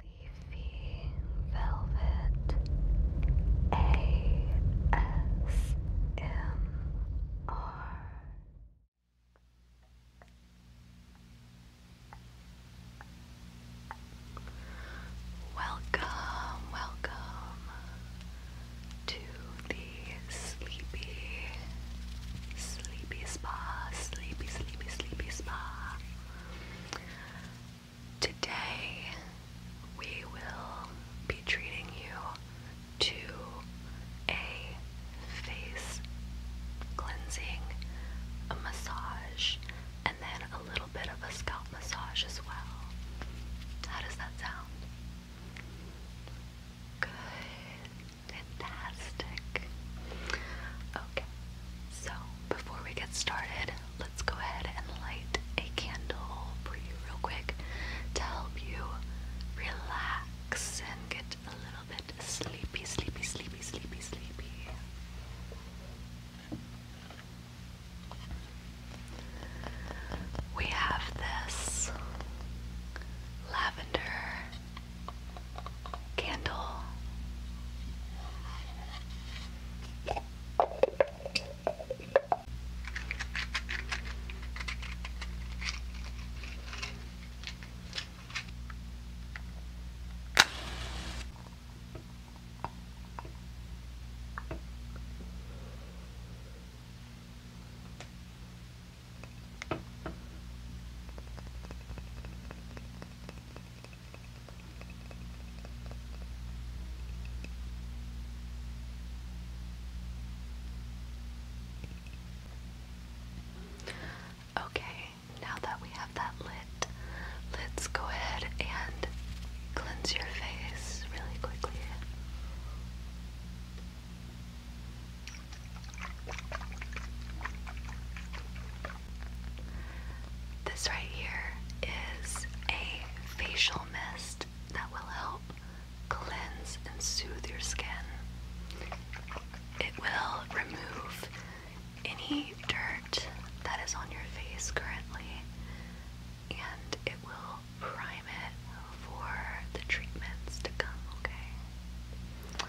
Leafy Velvet ASMR. Welcome, welcome to the sleepy, sleepy spa, sleepy, sleepy, sleepy spa. Today, we will be treating you to a face cleansing, a massage, and then a little bit of a scalp massage as well. How does that sound? Good. Fantastic so before we get started, let's go ahead and light a candle for you, real quick, to help you relax and get a little bit sleepy, sleepy, sleepy, sleepy, sleepy. We have this lavender candle. Okay, now that we have that lit, let's go ahead and cleanse your face really quickly. This right here is a facial mist that will help cleanse and soothe your skin. It will remove any dirt that is on your face currently and it will prime it for the treatments to come, okay?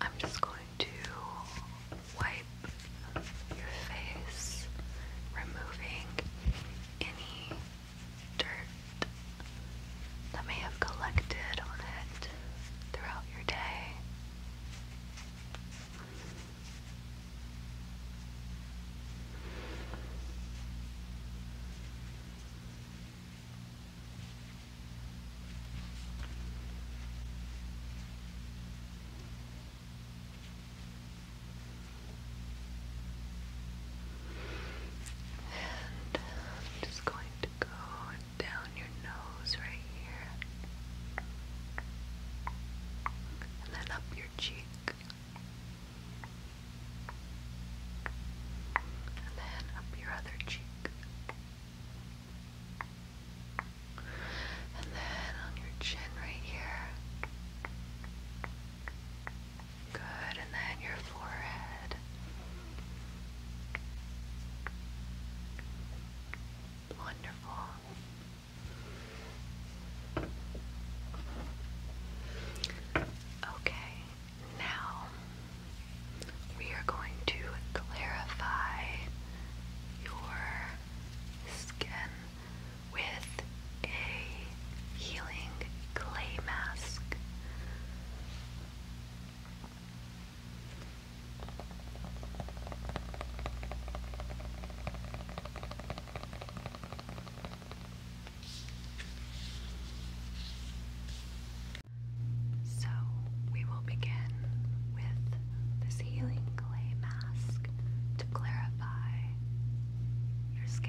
I'm just going to wipe your face, removing any dirt that may have collected on it throughout your day. And i just going to go down your nose right here. And then up your cheek. And then up your other cheek. And then on your chin right here. Good. And then your forehead. Wonderful. Okay, now we are going to clarify your skin with a healing clay mask. So we will begin with this healing clay mask to clarify your skin.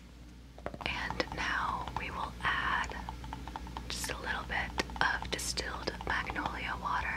And now we will add just a little bit of distilled magnolia water.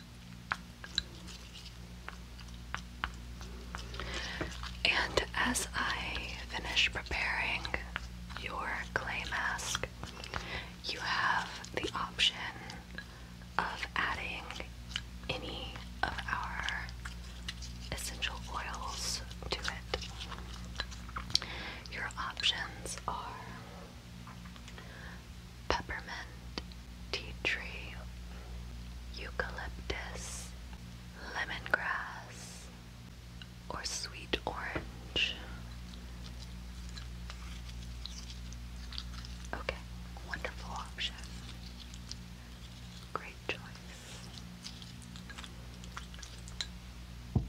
And as I finish preparing your clay mask, you have the option of adding any of our essential oils to it. Your options are peppermint, tea tree, eucalyptus, lemongrass, or sweet orange. Okay, wonderful option. Great choice.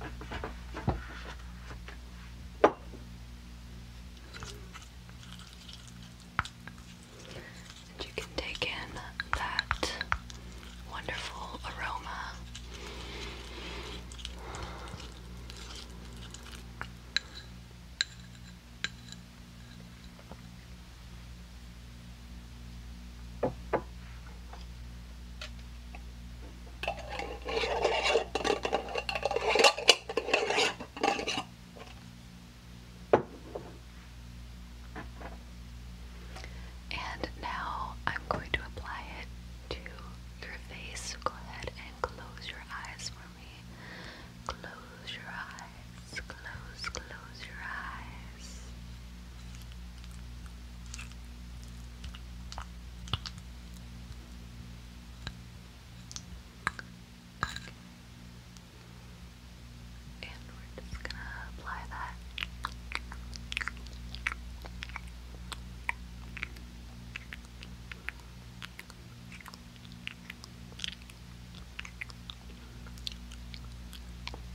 And you can take in that wonderful aroma. And now I'm going to apply it to your face. Go ahead and close your eyes for me. Close your eyes. Close, close your eyes. Okay. And we're just going to apply that. Okay.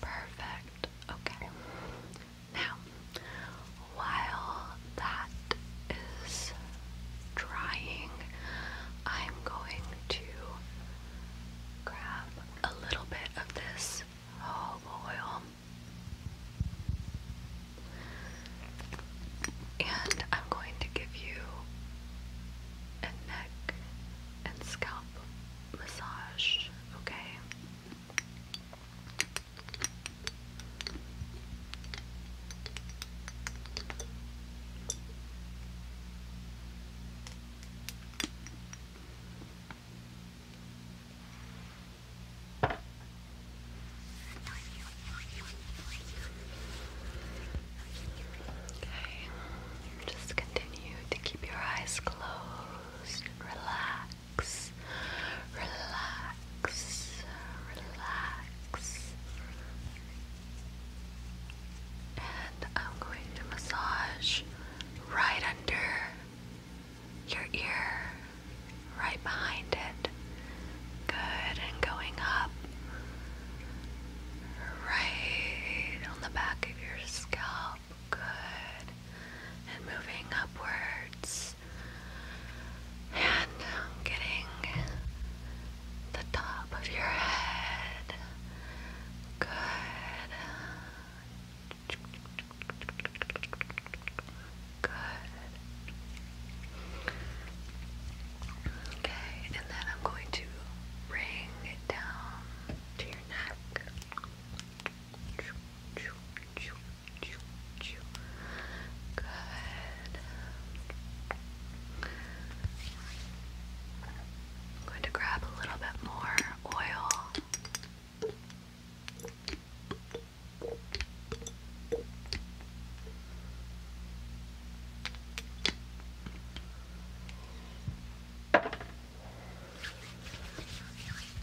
Perfect. Okay. Now, while that is drying, I'm going to grab a little bit of this olive oil. And I'm going to give you and neck and scalp massage, okay? Okay, just continue to keep your eyes closed relax, relax, relax. And I'm going to massage right under your ear, right behind it. Good, and going up right on the back of your scalp. Good, and moving upwards and getting the top of your head. Good. Good. Okay, and then I'm going to bring it down to your neck. Good. I'm going to grab a little bit more oil.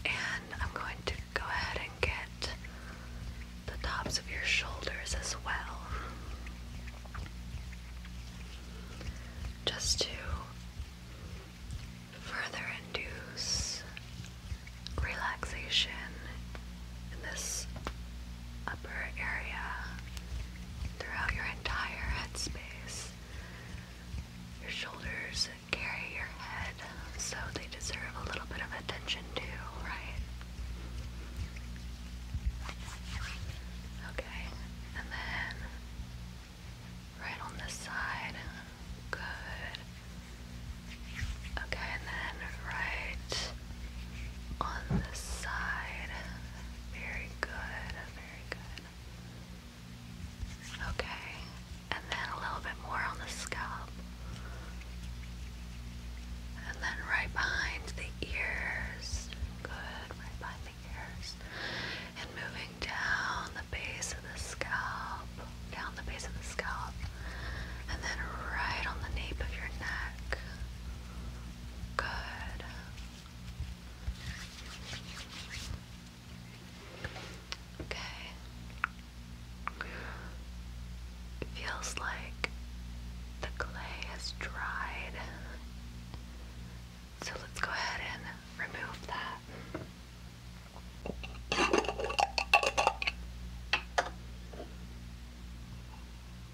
And I'm going to go ahead and get the tops of your shoulders as well. Just to further induce relaxation in this upper area, throughout your entire headspace. Your shoulders carry your head, so they deserve a little bit of attention too, right? Okay, and then right on this side. Good. Okay, and then right on the side. Very good, very good. Okay, and then a little bit more on the scalp. And then right behind the ears. Good, right behind the ears. And moving down the base of the scalp, down the base of the scalp. And then right on the nape of your neck. Good. Okay. It feels like the clay has dried. So let's go ahead and remove that.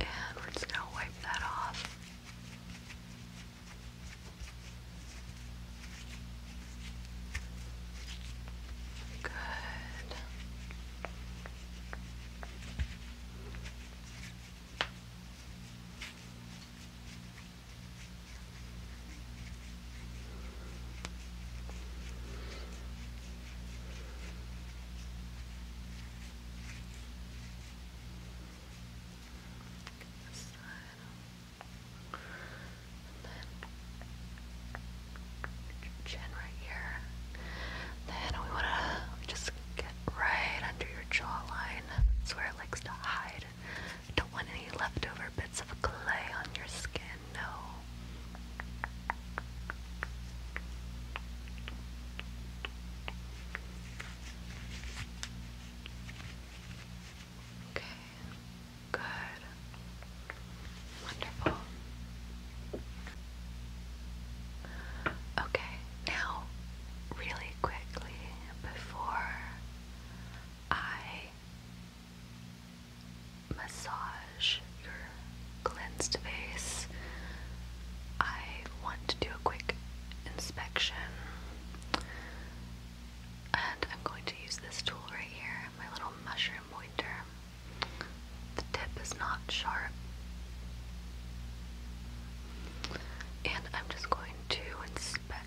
and we're just gonna wipe that off. Good. This chin right here. Then we wanna just get right under your jawline. That's where it likes to hide. Don't want any leftover bits of clay on your skin and no. Okay, good, wonderful. Okay, now, really quickly, before I massage your cleansed face. I want to do a quick inspection. And I'm going to use this tool right here, my little mushroom pointer. The tip is not sharp. And I'm just going to inspect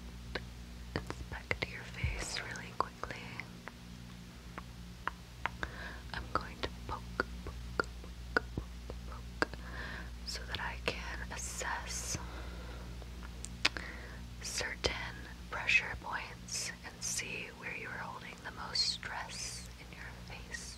inspect your face really quickly. I'm going to poke, poke, poke, poke, poke so that I can assess certain pressure points and see where you are holding the most stress in your face.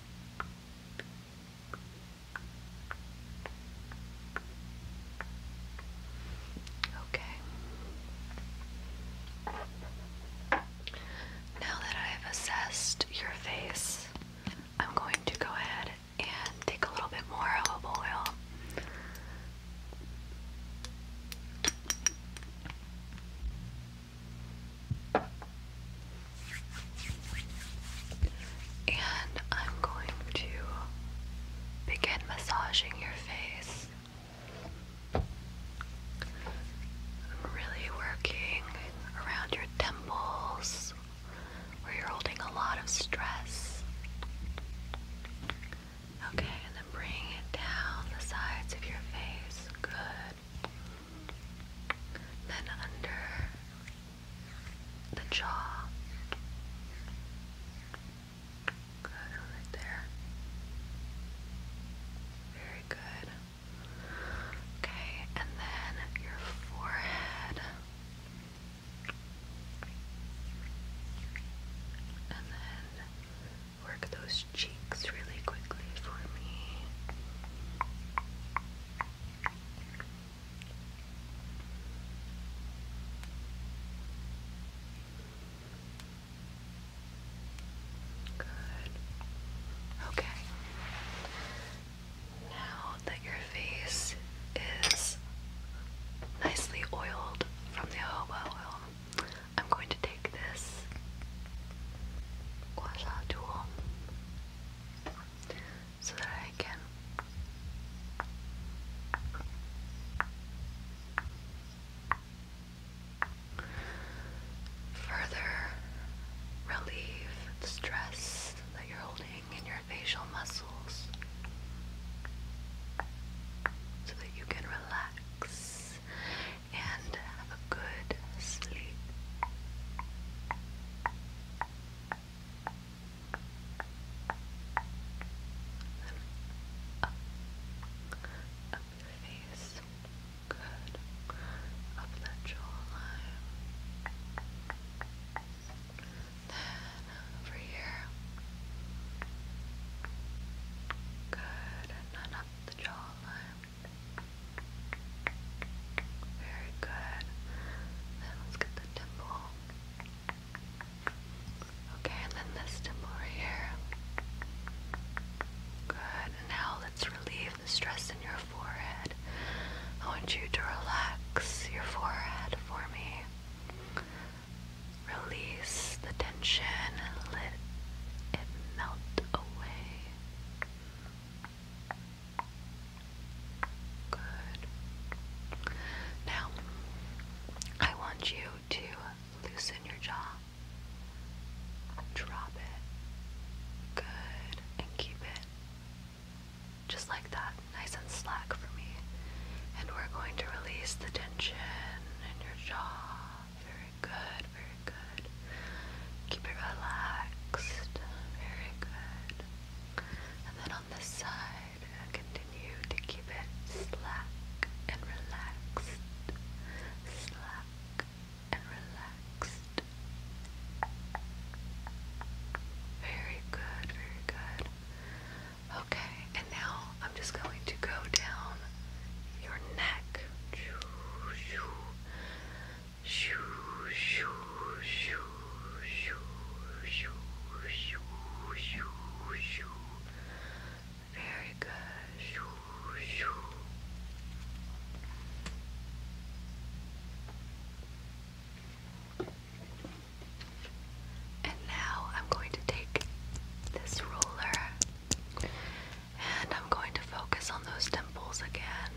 Okay. Now that I have assessed your face, I'm going to go ahead and take a little bit more olive oil. And I'm going to begin massaging your face. I'm really working around your temples where you're holding a lot of stress. Okay, and then bring it down the sides of your face. Good then under the jaw. Good, right there. Very good. Okay, and then your forehead. And then Work those cheeks really quickly for me. Good. Okay. Now that your face is nicely oiled from the jojoba oil, I'm going to take this quasar tool so that I can further relieve the stress that you're holding in your facial muscles so that you can relax and have a good sleep. up, up face, good, up that jawline. Then over here, good, and up the jawline. Very good. Then let's get the dimple. Okay, and then this dimple right here. Good. Now let's relieve the stress in your forehead. I want you to relax your forehead for me. Release the and let it melt away. Good. Now, I want you to loosen your jaw. Drop it. Good. And keep it just like that, nice and slack for me. And we're going to release the tension in your jaw good, very good. Keep it relaxed, very good. And then on this side, continue to keep it slack and relaxed, slack and relaxed. Very good, very good. Okay, and now I'm just going to go down your neck back. Very good. And now I'm going to take this roller and I'm going to focus on those temples again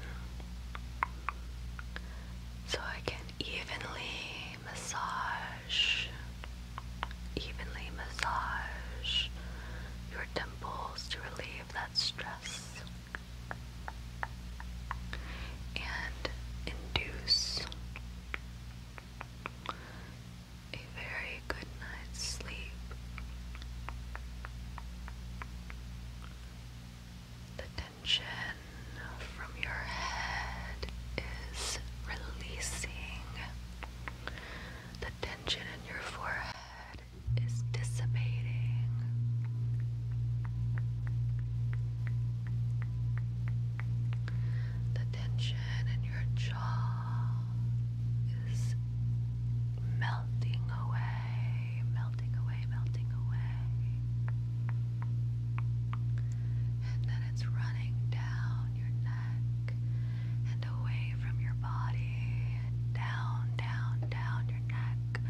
so I can evenly massage, evenly massage your dimples to relieve that stress and induce a very good night's sleep. The tension from your head is releasing. The tension in your forehead is dissipating. The tension in your jaw is melting away, melting away, melting away. And then it's running down your neck and away from your body, down, down, down your neck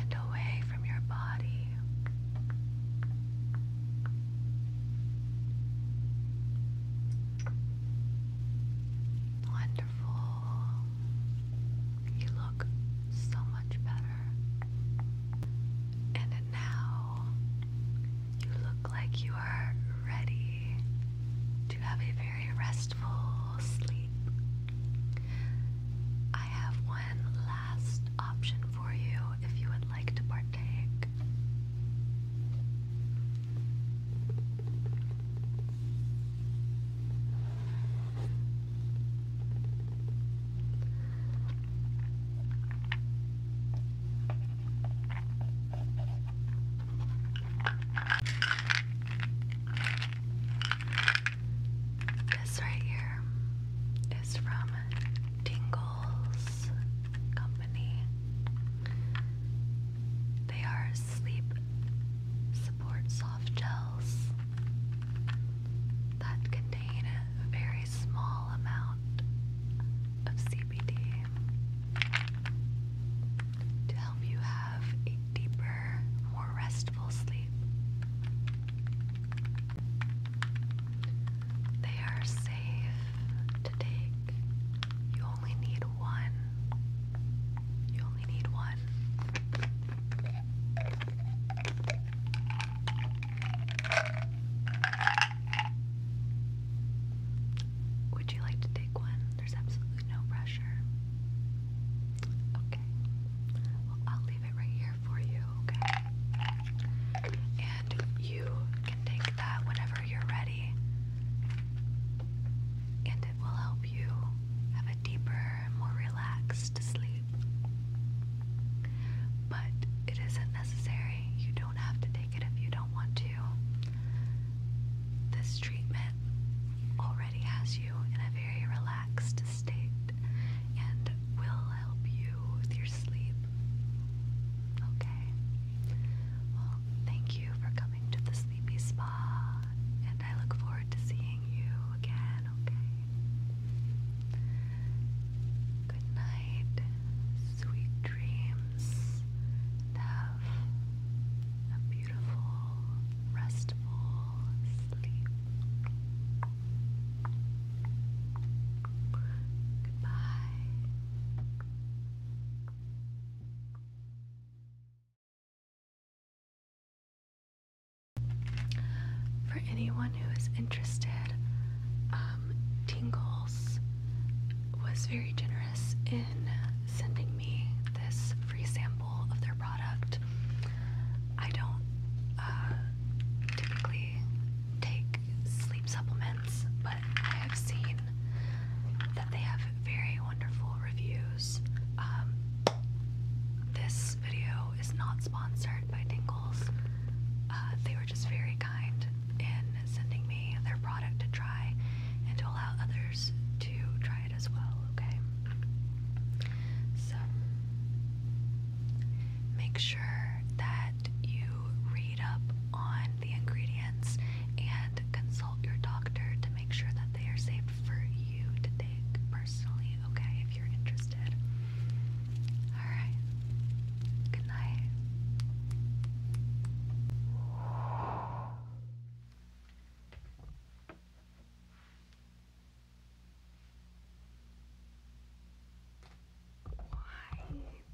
and away from your body. Wonderful. You look so much better. And now you look like you are ready to have a very restful sleep. I have one last option for you if you would like to partake. This right here is from Tingles Company. They are sleep support soft gels that contain a very small amount of CBD to help you have a deeper, more restful sleep. They are safe to take only need one. You only need one. Would you like to take one? There's absolutely no pressure. Okay. Well, I'll leave it right here for you, okay? And you can take that whenever you're ready, and it will help you have a deeper, more relaxed sleep. But it isn't necessary. You don't have to take it if you don't want to. This treatment already has you in a very relaxed state and will help you with your sleep Okay. Well, thank you for coming to the Sleepy Spa, and I look forward to seeing you again, okay? Good night, sweet dreams, have a beautiful, restful sleep. Goodbye. For anyone who is interested, um, Tingles was very generous in sending me this free sample of their product. I don't uh, typically take sleep supplements, but I have seen that they have very wonderful reviews. Um, this video is not sponsored by Dingles. Uh, they were just very kind in sending me their product to try and to allow others to try it as well, okay? So, make sure that you read up on the ingredients and consult your doctor to make sure that they are safe for you to take personally, okay, if you're interested. Alright. Good night. Why